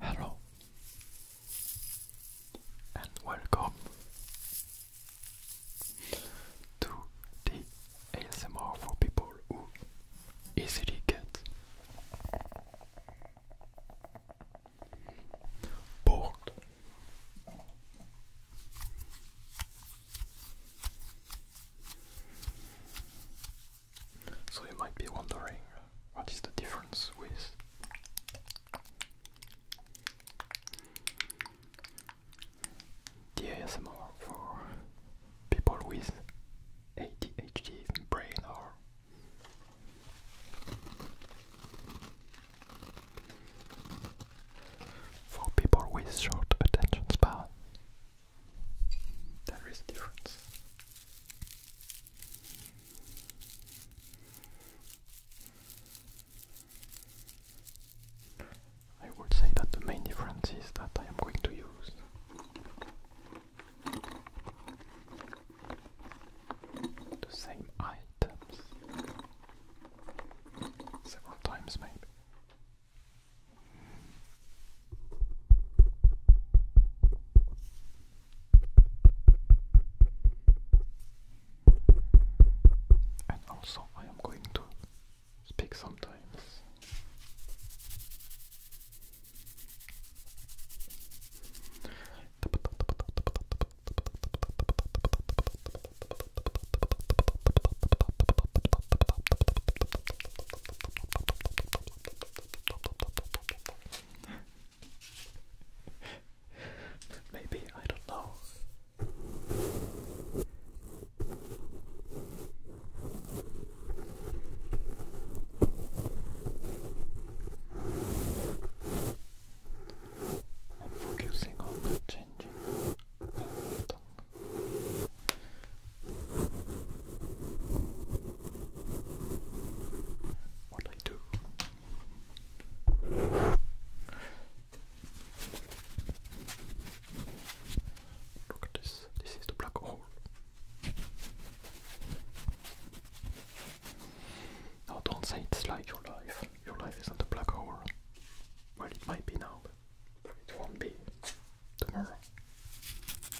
Hello and welcome to the ASMR for people who easily get bored. So you might be wondering uh, what is the difference with the for people with ADHD brain or for people with short attention span. There is a difference. I would say that the main difference is that I am going to use the same items several times, maybe. And also, I am going to speak sometimes. Maybe, I don't know. I'm focusing on changing the tongue what I do. Look at this, this is the black hole. Now don't say it's like your life. Your life isn't a black hole. Well, it might be now, but it won't be tomorrow.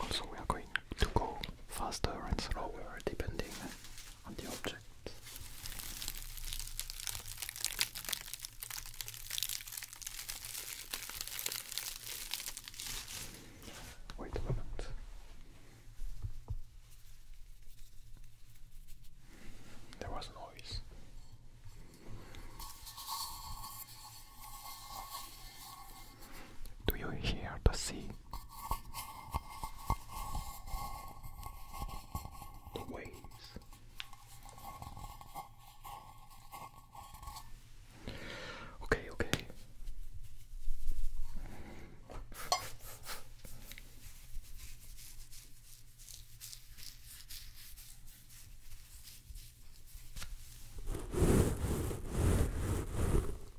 Also, we are going to go faster and slower depending on the object. Wait a moment. There was noise. Do you hear the sea? The waves. Okay, okay.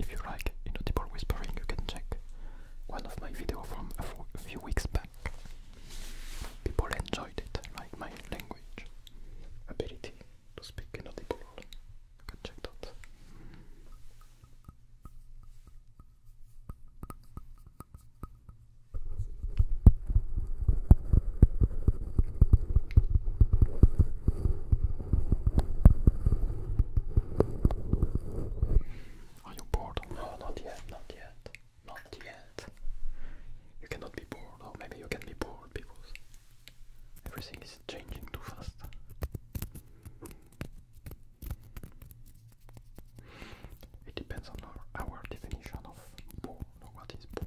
If you like inaudible whispering, you can check one of my videos from a few weeks back. People enjoyed it, like my language ability to speak inaudible. You can check that. Are you bored? No, not yet, not yet, not yet. You cannot be bored, or maybe you can be bored because everything is changing too fast. It depends on our, definition of bored, what is bored.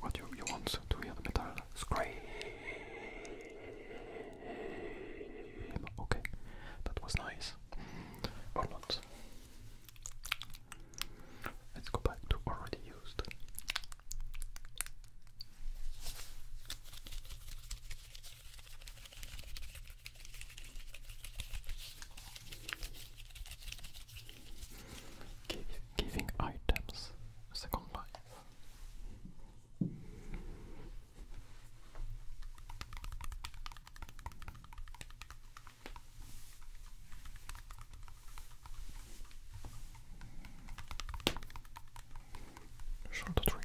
what you, you want to hear the metal scream. Okay, that was nice. Or not. Let's go back to already used. Give giving items second life. Shoulder trigger.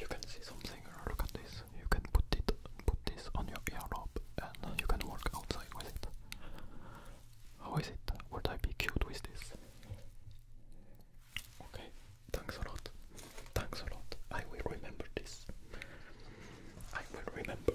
You can see something look at this. You can put it, put this on your earlobe, and you can walk outside with it. How is it? Would I be cute with this? Okay, thanks a lot. Thanks a lot. I will remember this. I will remember.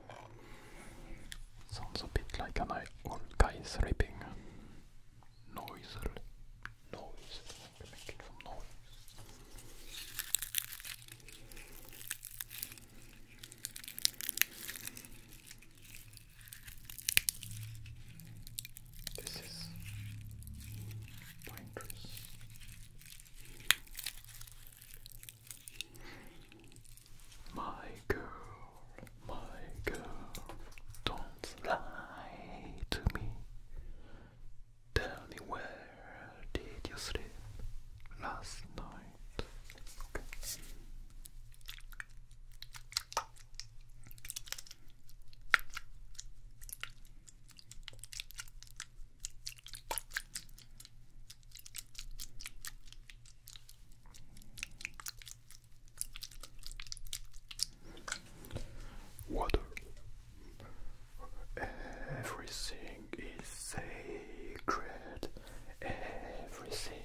Sounds a bit like an old guy's sleeping. Noise. Noise. This is pine my girl, my girl, don't lie to me. Tell me where did you sleep last night? Water. Everything is sacred. Everything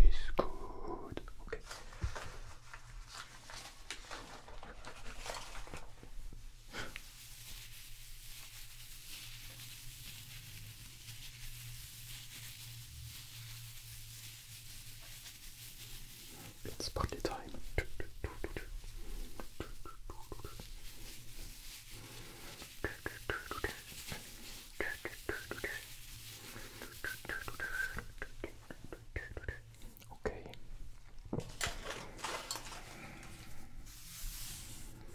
is good. Okay. It's party time. Okay.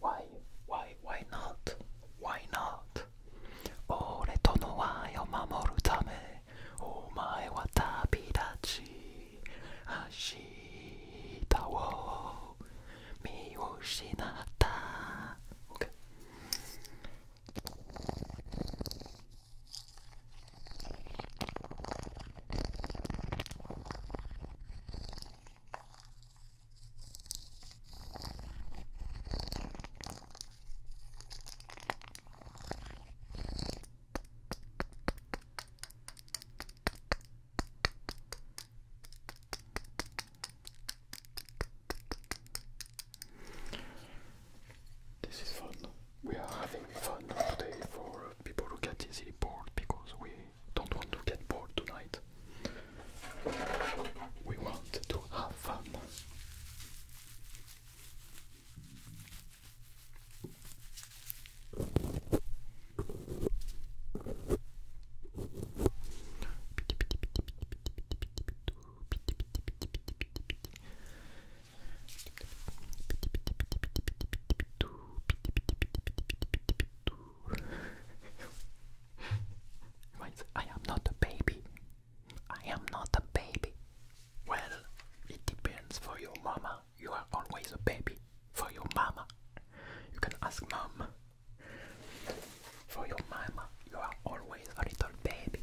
Why? Why? Why not? Why not? 俺との和を守るためお前は旅立ち明日を見失った OK This is fun. We are having fun today for people who get easily bored because we don't want to get bored tonight. We want to have fun. I am not a baby. I am not a baby. Well, it depends for your mama. You are always a baby for your mama. You can ask mom. For your mama, you are always a little baby.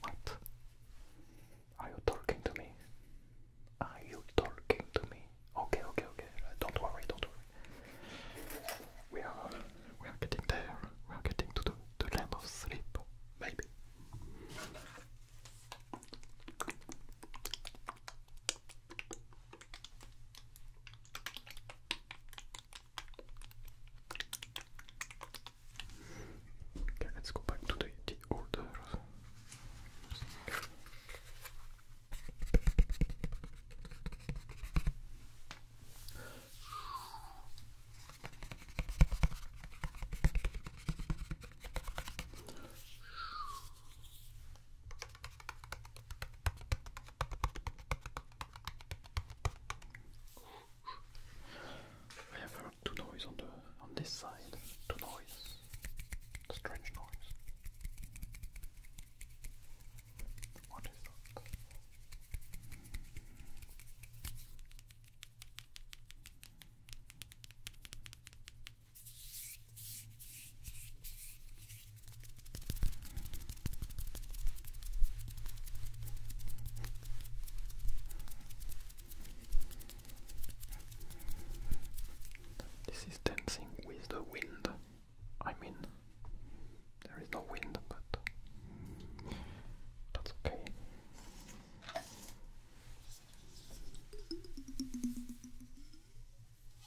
What? Are you talking to me? Are you talking to me? Okay, okay, okay. Uh, don't worry, don't worry. We are, we are getting there. We are getting to the, the land of sleep, maybe. Okay, let's go back to the, the order. We have two noise on the on this side. Two noise. Strange noise. What is that? This is dancing with the wind. I mean, there is no wind, but that's okay.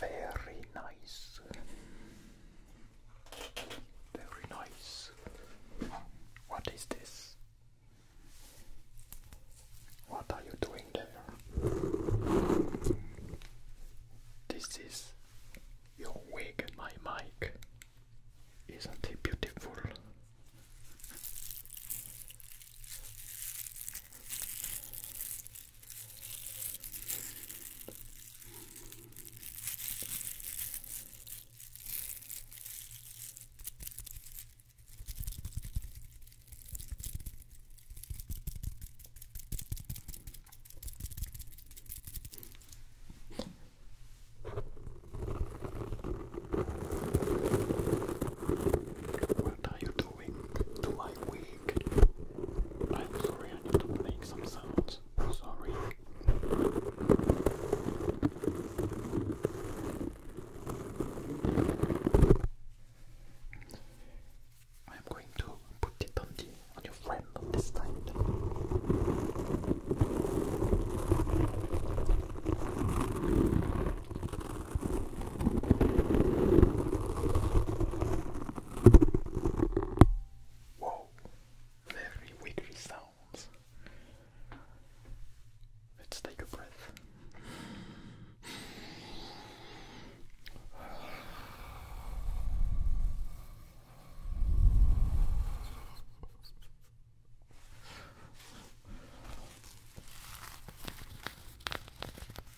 Very nice. Very nice. What is this? What are you doing there? This is your wig, my mic. Isn't it beautiful? What are you doing to my wig? I'm sorry, I need to make some sounds. Sorry. I am going to put it on the on your friend on this Whoa, very wiggly sounds. Let's take a breath.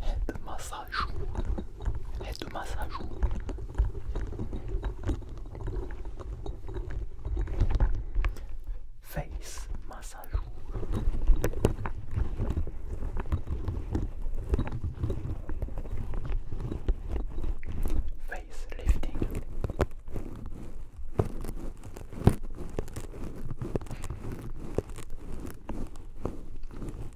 head massage, head massage. Face massage. Face lifting.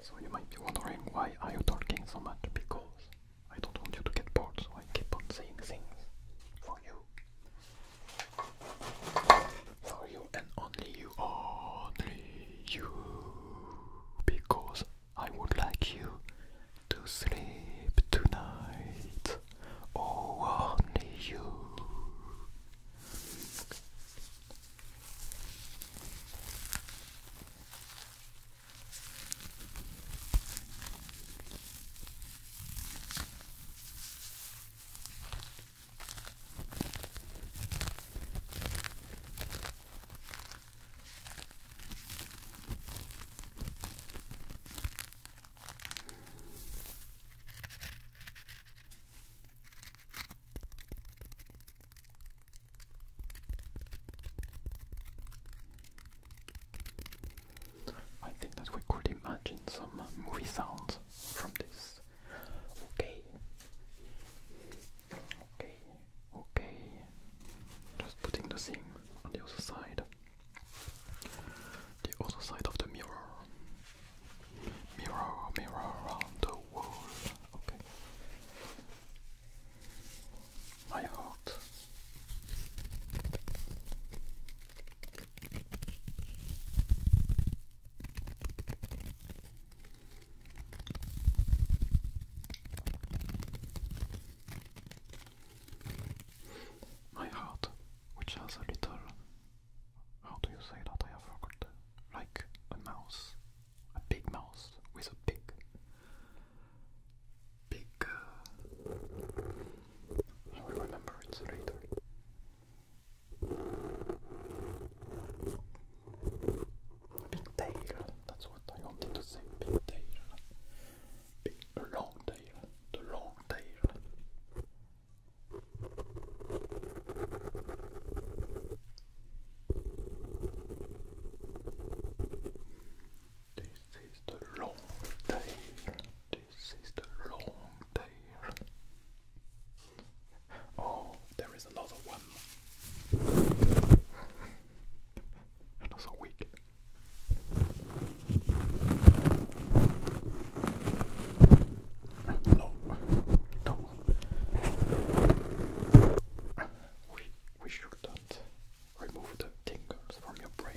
So you might be wondering why are you talking so much? Because I don't want you to get bored, so I keep on saying things for you. For you and only you, only you, because I would like you to sleep tonight. Oh, only you. I think that we could imagine some movie sounds from this. Okay. Okay. Okay. Just putting the same on the other side. The other side of the mirror. Mirror, mirror on the wall. Okay. My heart. My heart, which has a little, how do you say that? I have forgotten. Like a mouse, a big mouse with a big, big. Uh, I will remember it later. Pigtail, that's what I wanted to say. Pigtail. Big long tail. The long tail. This is the long day. This is the long day. Oh, there is another one. Another week. No, no. We we shouldn't remove the tingles from your brain.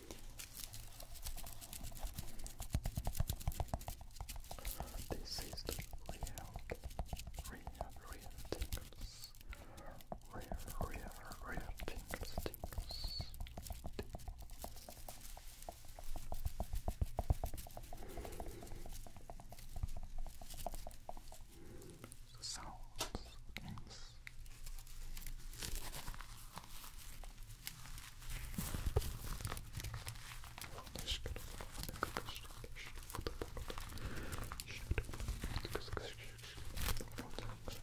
This is the real, real, real tingles. Real, real, real tingles, tingles. sounds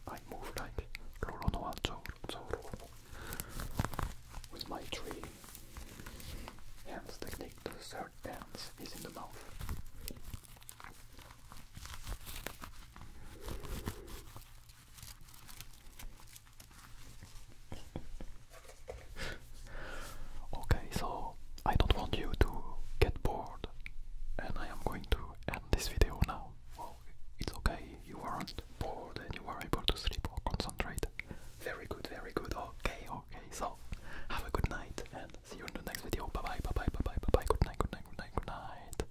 I move like Roronoa Zoro with my three hands technique. The third dance is in the mouth. okay, so I don't want you to get bored, and I am going to end this video now. Well, it's okay, you aren't bored and you are able to sleep or concentrate. Very good, very good. Okay, okay, so have a good night and see you in the next video. Bye bye, bye bye, bye bye, bye bye. Good night, good night, good night, good night.